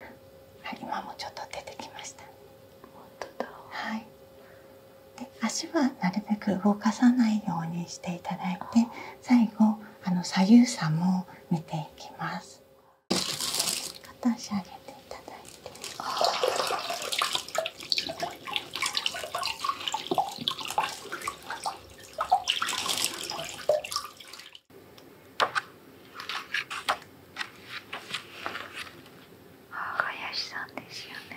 はい、今もちょっと出てきました。はい。で、足はなるべく動かさないようにしていただいて、最後あの左右差も見ていきます。片足上げていただいて。あ林さんですよね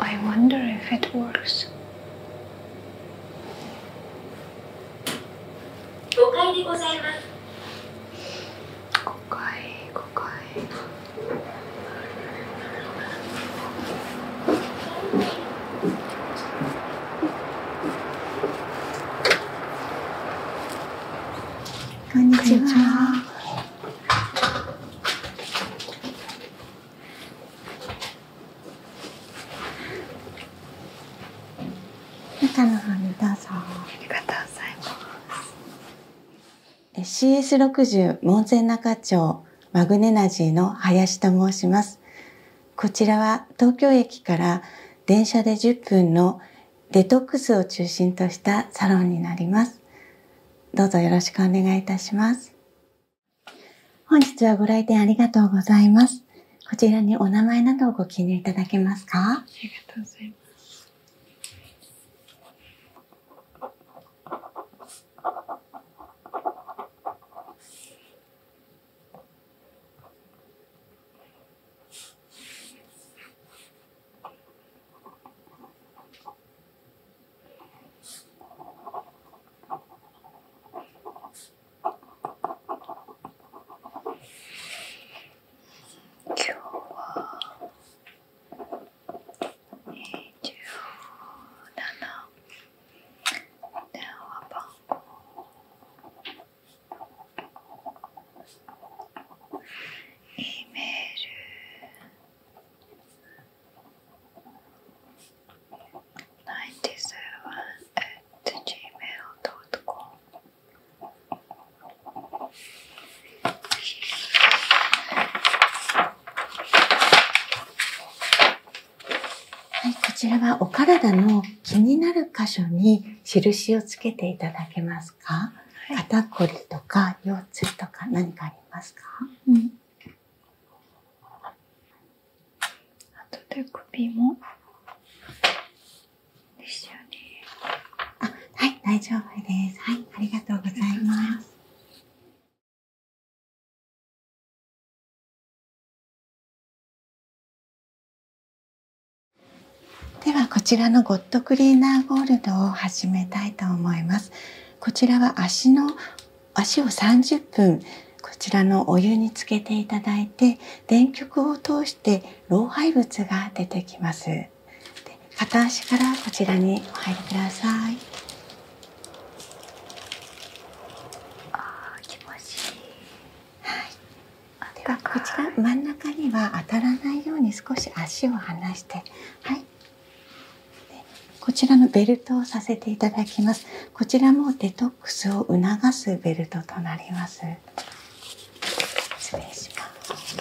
I wonder if it works. Kokai Kokai, kokai. Konnichiwa. 中の方にどうぞありがとうございます CS60 門前仲町マグネジの林と申しますこちらは東京駅から電車で10分のデトックスを中心としたサロンになりますどうぞよろしくお願いいたします本日はご来店ありがとうございます。こちらにお名前などをご記入いただけますか。ありがとうございます。今日は27電話番号イメールはい、こちらはお体の気になる箇所に印をつけていただけますか、肩こりとか腰痛とか何かありますか、あとで首もですよねあはい大丈夫ですはいありがとうございますではこちらのゴッドクリーナーゴールドを始めたいと思いますこちらは足の足を30分こちらのお湯につけていただいて電極を通して老廃物が出てきます片足からこちらにお入りください気持ちいいはいではこちら真ん中には当たらないように少し足を離してはいこちらのベルトをさせていただきます。こちらもデトックスを促すベルトとなります。失礼します。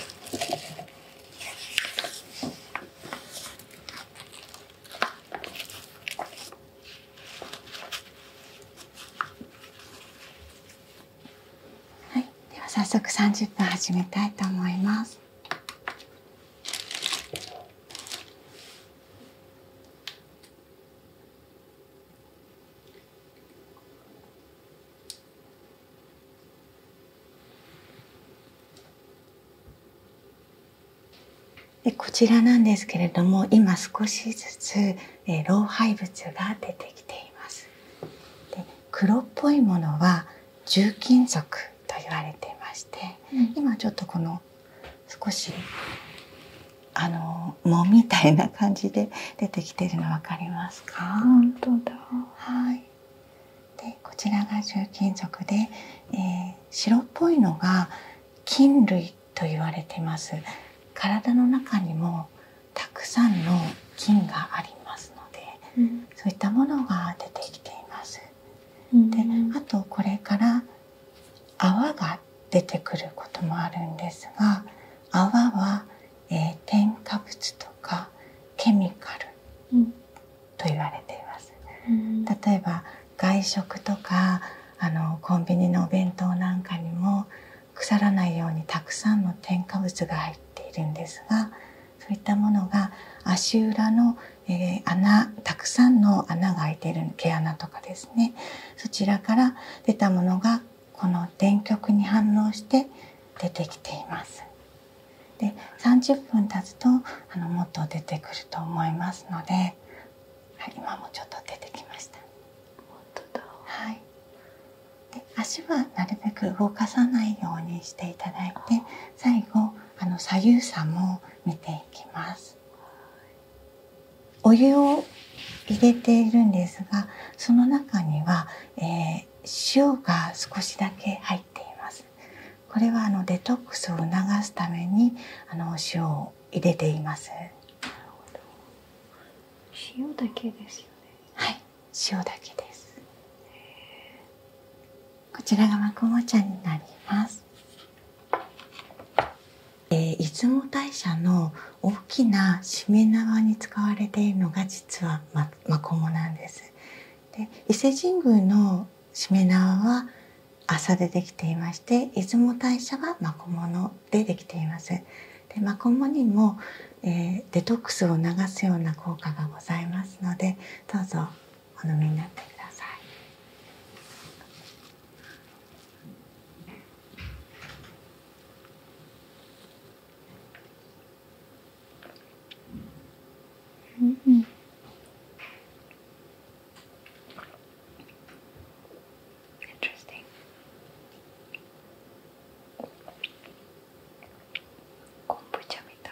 はい、では早速30分始めたいと思います。こちらなんですけれども今少しずつ、老廃物が出てきています。黒っぽいものは重金属と言われていまして、今ちょっとこの少しあの藻みたいな感じで出てきてるの分かりますかはいでこちらが重金属で、え白っぽいのが菌類と言われてます体の中にもたくさんの菌がありますので、そういったものが出てきていますであとこれから泡が出てくることもあるんですが泡は、え添加物とかケミカルと言われています。例えば外食とかあのコンビニのお弁当なんかにも腐らないようにたくさんの添加物が入っているんですがそういったものが足裏のえー、穴たくさんの穴が開いている毛穴とかですねそちらから出たものがこの電極に反応して出てきています。で30分経つとあのもっと出てくると思いますので、はい、今もちょっと出てきました。本当だはい、で足はなるべく動かさないようにしていただいて最後あの左右差も見ていきますお湯を入れているんですがその中には、え塩が少しだけ入っていますこれはあのデトックスを促すためにあの塩を入れています塩だけですよねはい塩だけですこちらがマクモ茶になります、え出雲大社の大きなしめ縄に使われているのが実はマコモなんですで伊勢神宮のしめ縄は麻でできていまして出雲大社はマコでできていますでマコモにも、えデトックスを流すような効果がございますのでどうぞお飲みになってください。うんうん昆布茶みたい。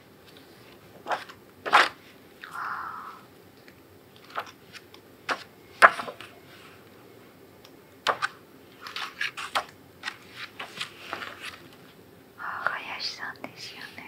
ああ。林さんですよね。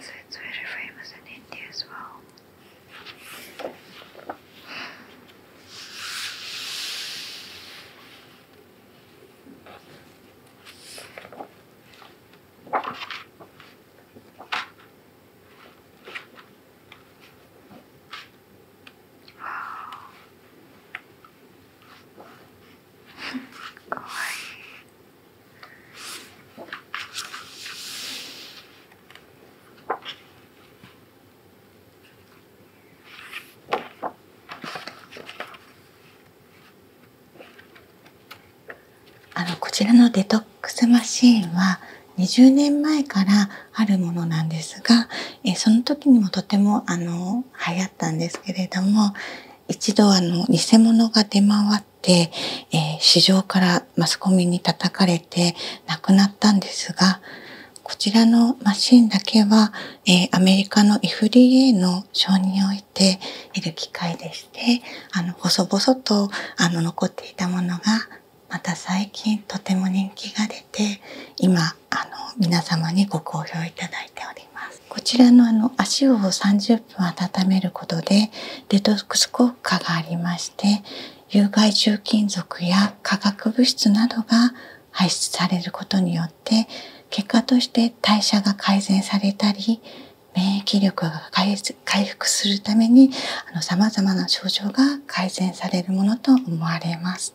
So it's very famous in India as well. かわいい。こちらのデトックスマシーンは20年前からあるものなんですがその時にもとてもあの流行ったんですけれども一度偽物が出回って、市場からマスコミに叩かれて亡くなったんですがこちらのマシンだけは、アメリカの FDA の承認においている機械でしてあの細々と残っていたものがまた最近とても人気が出て今皆様にご好評いただいております。こちらの足を30分温めることでデトックス効果がありまして有害重金属や化学物質などが排出されることによって結果として代謝が改善されたり免疫力が回復するためにさまざまな症状が改善されるものと思われます。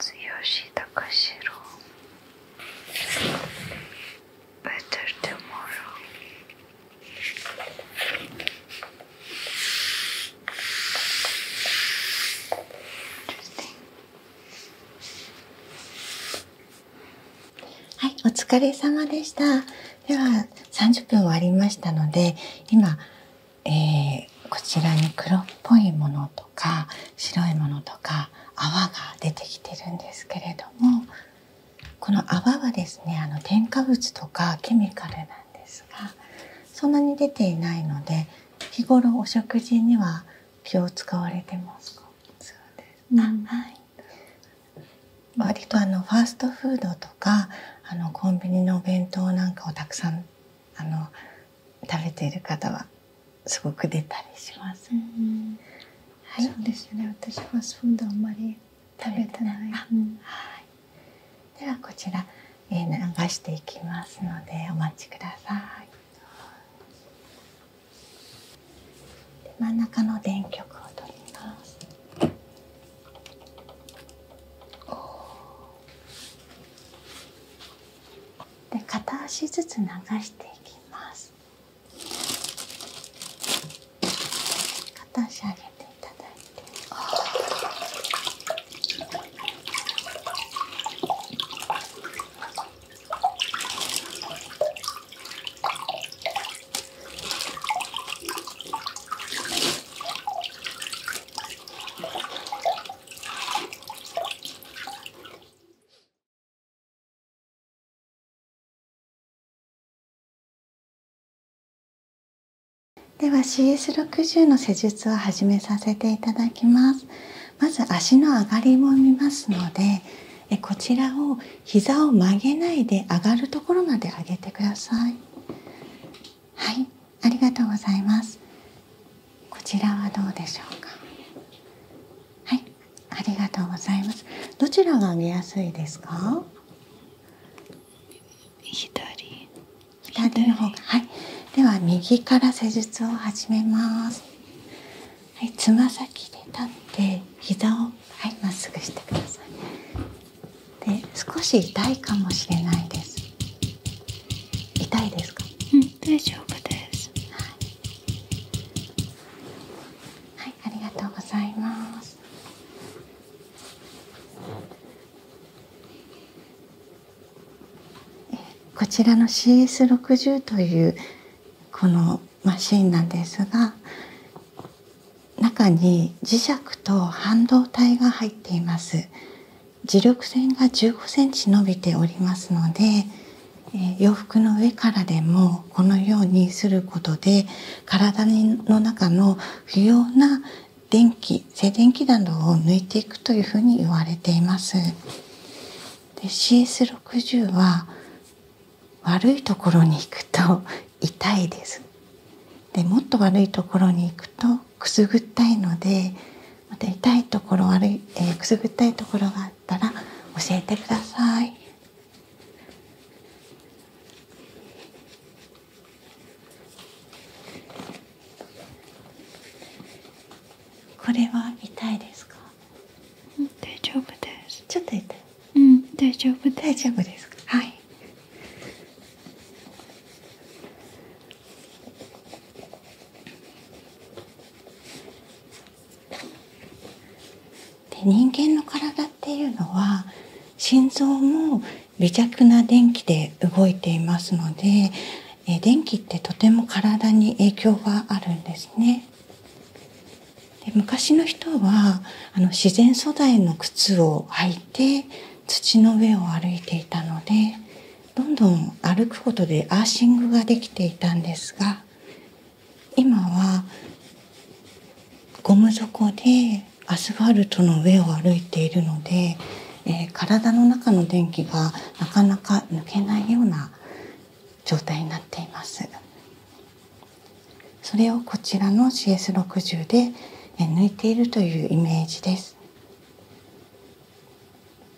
強し高城お疲れ様でした。では30分終わりましたので、今、こちらに黒っぽいものと。とか白いものとか泡が出てきてるんですけれどもこの泡はですねあの添加物とかケミカルなんですがそんなに出ていないので日頃お食事には気を使われてますそうです、うん、はい割とあのファーストフードとかあのコンビニのお弁当なんかをたくさんあの食べている方はすごく出たりします。はい、そうですよね。私ファストあんまり食べてない。ではこちら、えー、流していきますのでお待ちください。で真ん中の電極を取ります。で片足ずつ流していきます。片足上げていただいてでは CS60 の施術を始めさせていただきますまず足の上がりも見ますのでえこちらを膝を曲げないで上がるところまで上げてくださいはいありがとうございますこちらはどうでしょうかはいありがとうございますどちらが見やすいですか左左の方がはいでは右から施術を始めますはいつま先で立って膝をはいまっすぐしてくださいで少し痛いかもしれないです痛いですかん大丈夫ですはいはい、ありがとうございます。こちらの CS60 というこのマシンなんですが中に磁石と半導体が入っています磁力線が15センチ伸びておりますので洋服の上からでもこのようにすることで体の中の不要な電気静電気などを抜いていくというふうに言われています CS60 は悪いところに行くと痛いですでもっと悪いところに行くとくすぐったいのでまた痛いところ悪い、えくすぐったいところがたら教えてください。これは痛いですか？大丈夫です。ちょっと痛い。うん、大丈夫大丈夫ですはい。で人間の体っていうのは心臓も微弱な電気で動いていますのでえ電気ってとても体に影響があるんですね。で昔の人はあの自然素材の靴を履いて土の上を歩いていたのでどんどん歩くことでアーシングができていたんですが今はゴム底でアスファルトの上を歩いているので、え体の中の電気がなかなか抜けないような状態になっていますそれをこちらの CS60 で抜いているというイメージです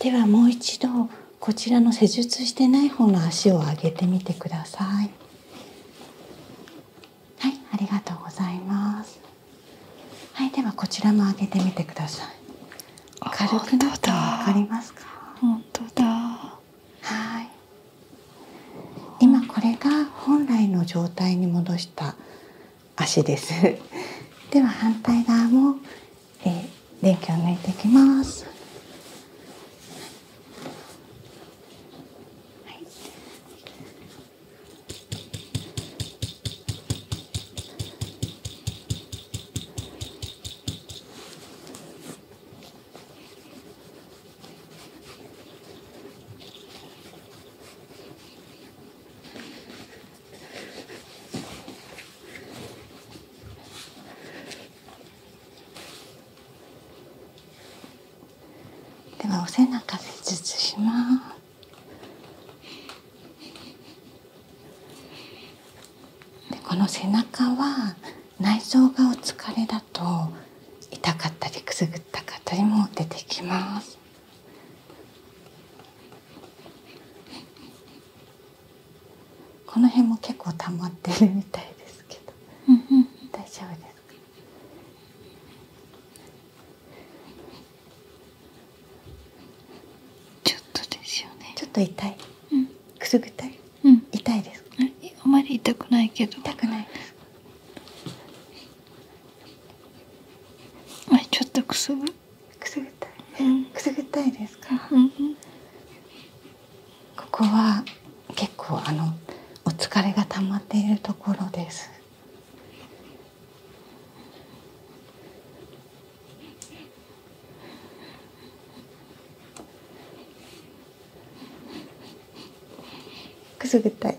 ではもう一度こちらの施術してない方の足を上げてみてくださいはいありがとうございますはいではこちらも上げてみてください軽くなったわかりますか本当だはい今これが本来の状態に戻した足です では反対側も、えー、電気を抜いていきます、はい、ではお背中で施つします。でこの背中は内臓がお疲れだと痛かったりくすぐったかったりも出てきます。この辺も結構溜まってるみたいですけど、大丈夫ですか。ちょっとですよねちょっと痛い、うん、くすぐったい、うん、痛いですあまり痛くないけど痛くないです。ちょっとくすぐくすぐったい、うん、くすぐったいですか、うんここは結構あのお疲れがたまっているところですくすぐったい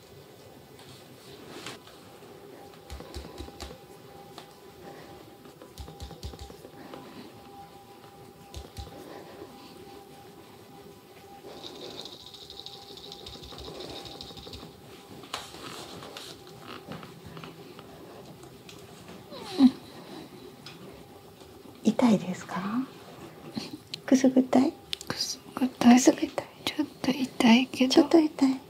痛いですかくすぐったいちょっと痛いけどちょっと痛い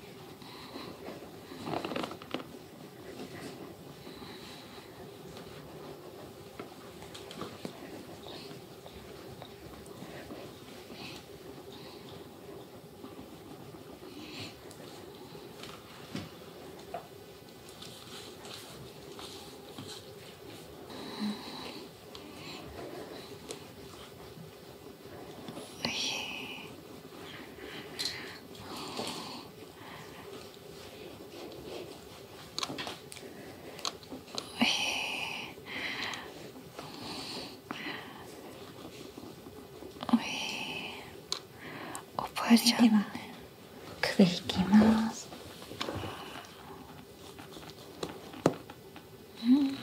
それでは首引きます。うん。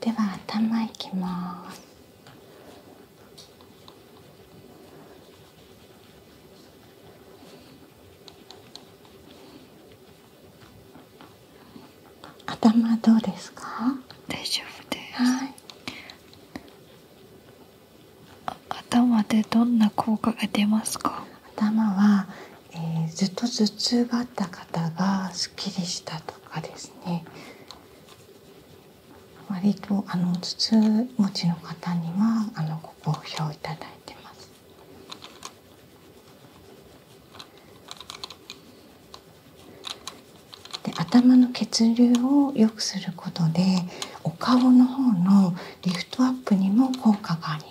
では頭いきます頭どうですか大丈夫です、は頭でどんな効果が出ますか頭は、えずっと頭痛があった方がすっきりしたとかですね割とあの頭痛持ちの方にはあのご好評いただいてますで頭の血流を良くすることでお顔の方のリフトアップにも効果があります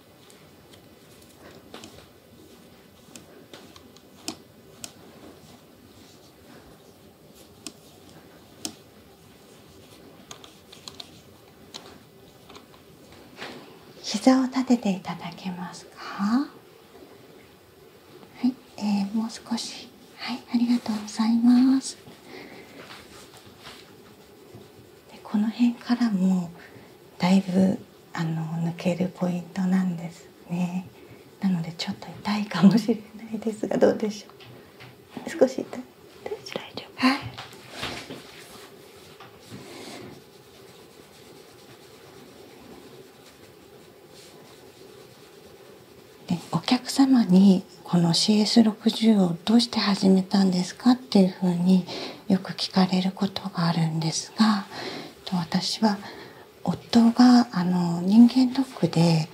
膝を立てていただけますかはい、もう少しはい、ありがとうございますでこの辺からもだいぶあの抜けるポイントなんですねなのでちょっと痛いかもしれないですがどうでしょう少し痛い大丈夫はいお客様にこの CS60 をどうして始めたんですかっていうふうによく聞かれることがあるんですが私は夫があの人間ドックで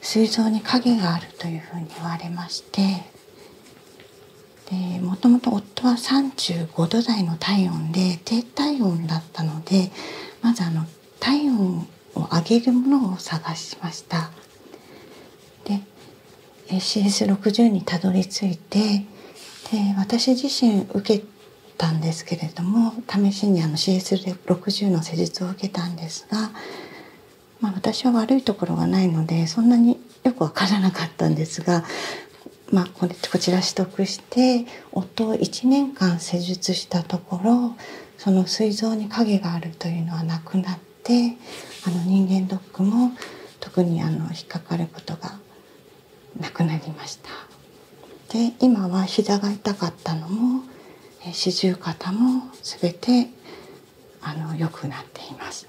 膵臓に影があるというふうに言われましてもともと夫は35度台の体温で低体温だったのでまずあの体温を上げるものを探しました。で CS60 にたどり着いてで私自身受けたんですけれども試しにあの CS60 の施術を受けたんですが、ま私は悪いところがないのでそんなによく分からなかったんですが、まこれこちら取得して夫を1年間施術したところその膵臓に影があるというのはなくなってあの人間ドックも特にあの引っかかることが亡くなりましたで今は膝が痛かったのも四十肩も全てあの良くなっています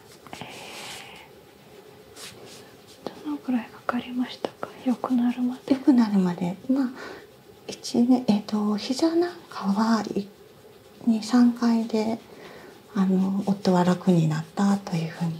どのくらいかかりましたか良くなるまで良くなるまでまあ1年えっ、と膝なんかは23回であの夫は楽になったというふうに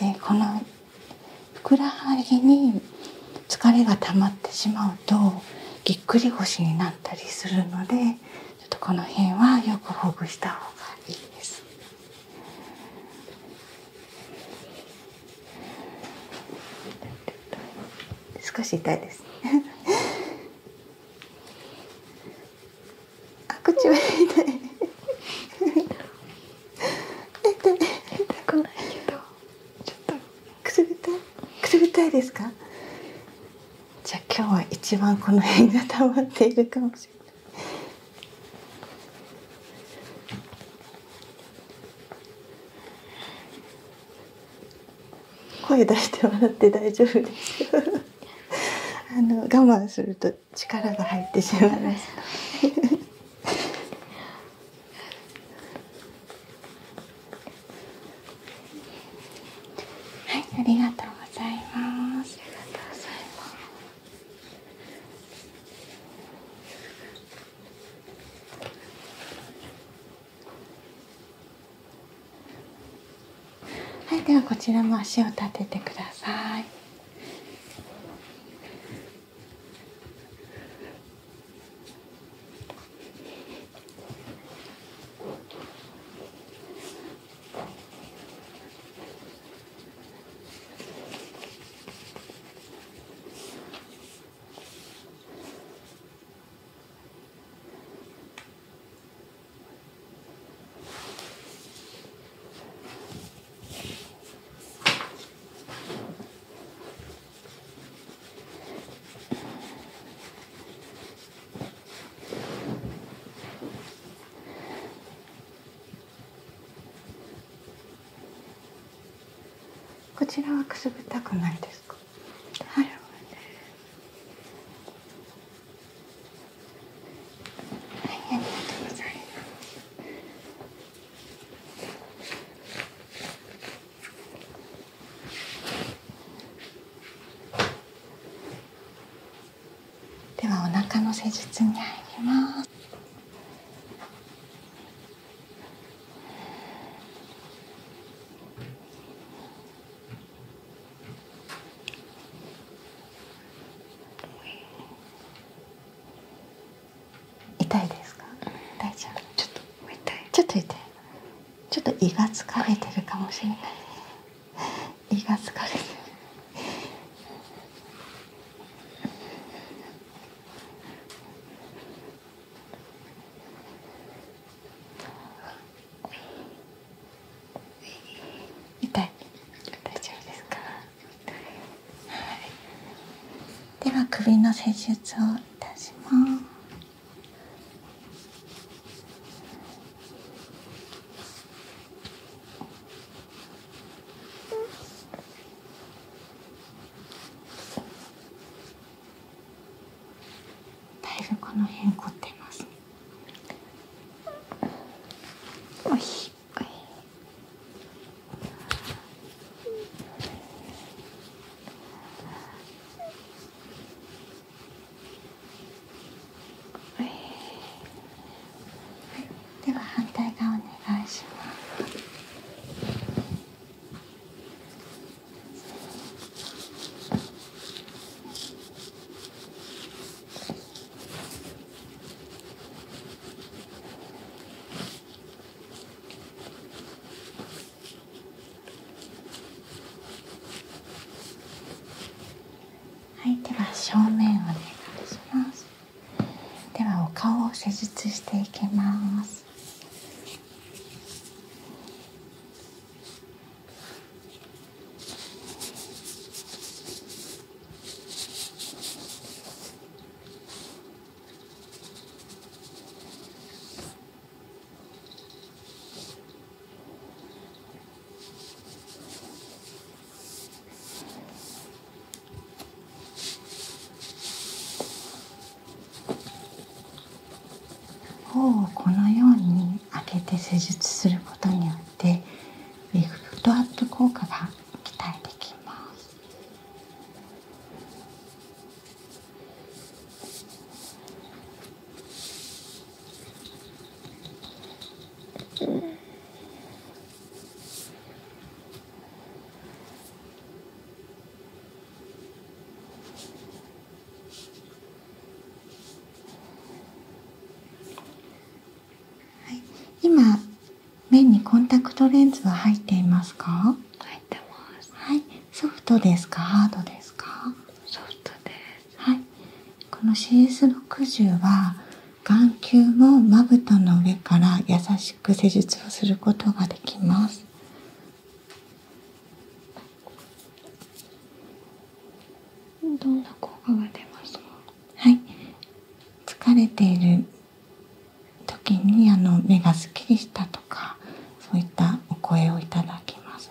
でこのふくらはぎに疲れがたまってしまうとぎっくり腰になったりするのでちょっとこの辺はよくほぐしたほうがいいです。少し痛いです。あ口は痛い痛い痛くないけどちょっとくすぐったいくすぐったいですかじゃあ今日は一番この辺が溜まっているかもしれない声出して笑って大丈夫ですあの我慢すると力が入ってしまいますはいありがとうございますありがとうございますはいではこちらも足を立ててくださいこちらはくすぐったくないですか。はい。はい、ありがとうございますではお腹の施術に入ります痛いですか大丈夫ちょっとちょっと痛いちょっと胃が疲れてるかもしれない胃が疲れて痛い大丈夫ですかはいでは首の施術をいたしますだいぶこの辺凝ってますねおいでは反対側お願いします。はい、では正面お願いします。ではお顔を施術していきます。をこのように間けて施術することによってウィッグドアップ効果が期待できます今目にコンタクトレンズは入っていますか？はい、ソフトですかハードですか？ソフトです。はい、この CS60 は眼球もまぶたの上から優しく施術をすることができます。どんな効果が出ますはい疲れている時にあの目がすっきりしたとかそういったお声をいただきます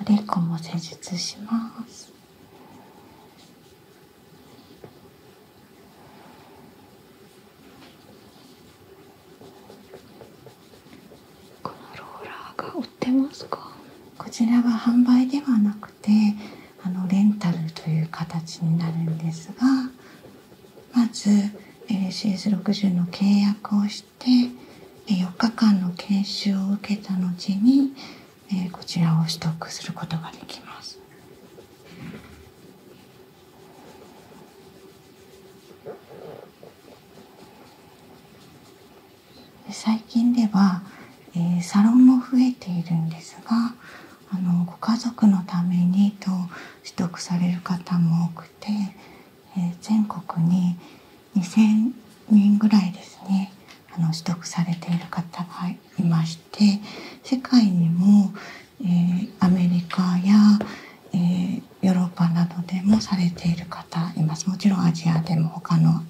おでこも施術します。このローラーが売ってますかこちらは販売ではなくてあのレンタルという形になるんですがまず LCS60 の契約をして4日間の研修を受けた後にえー、こちらをストすることができます。最近では、えー、サロンも増えているんですがあのご家族のためにと取得される方も多くて、えー、全国に2,000人ぐらいですねあの取得されている方がいまして世界にも、えー、アメリカや、えー、ヨーロッパなどでもされている方いますもちろんアジアでも他の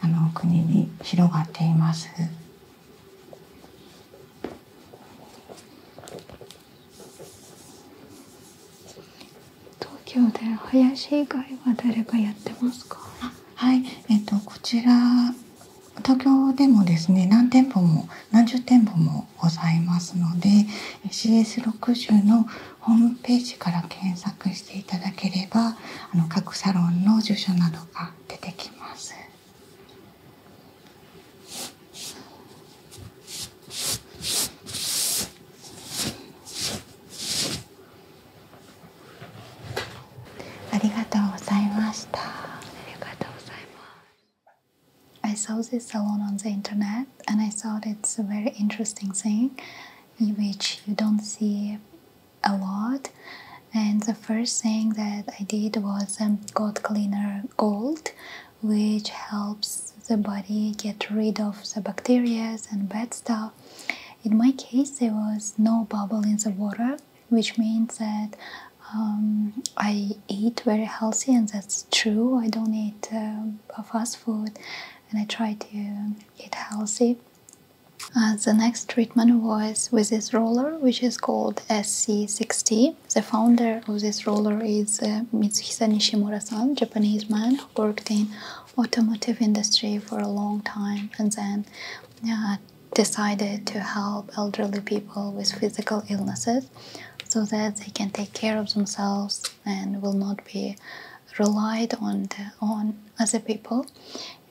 あの国に広がっています。東京で林以外は誰がやってますか。はい、えっ、とこちら東京でもですね何店舗も何十店舗もございますので CS60 のホームページから検索していただければあの各サロンの住所などが出てきます。I saw this salon on the internet and I thought it's a very interesting thing which you don't see a lot. And the first thing that I did was um, got cleaner gold, which helps the body get rid of the bacteria and bad stuff. In my case, there was no bubble in the water, which means that um, I eat very healthy, and that's true. I don't eat uh, fast food, and I try to eat healthy. Uh, the next treatment was with this roller, which is called SC60. The founder of this roller is uh, Mitsuhisa Nishimura-san, Japanese man who worked in automotive industry for a long time and then uh, decided to help elderly people with physical illnesses so that they can take care of themselves and will not be relied on the, on other people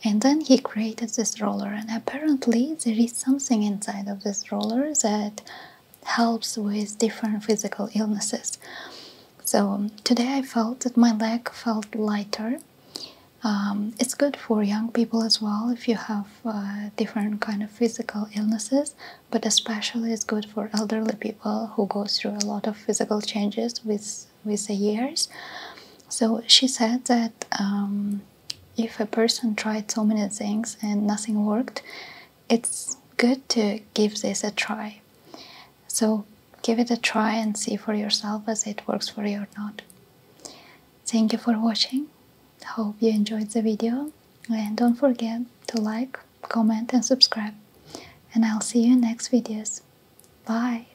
and then he created this roller and apparently there is something inside of this roller that helps with different physical illnesses so today i felt that my leg felt lighter um, it's good for young people as well if you have uh, different kind of physical illnesses, but especially it's good for elderly people who go through a lot of physical changes with with the years. So she said that um, if a person tried so many things and nothing worked, it's good to give this a try. So give it a try and see for yourself as it works for you or not. Thank you for watching. Hope you enjoyed the video and don't forget to like, comment and subscribe. And I'll see you next videos. Bye!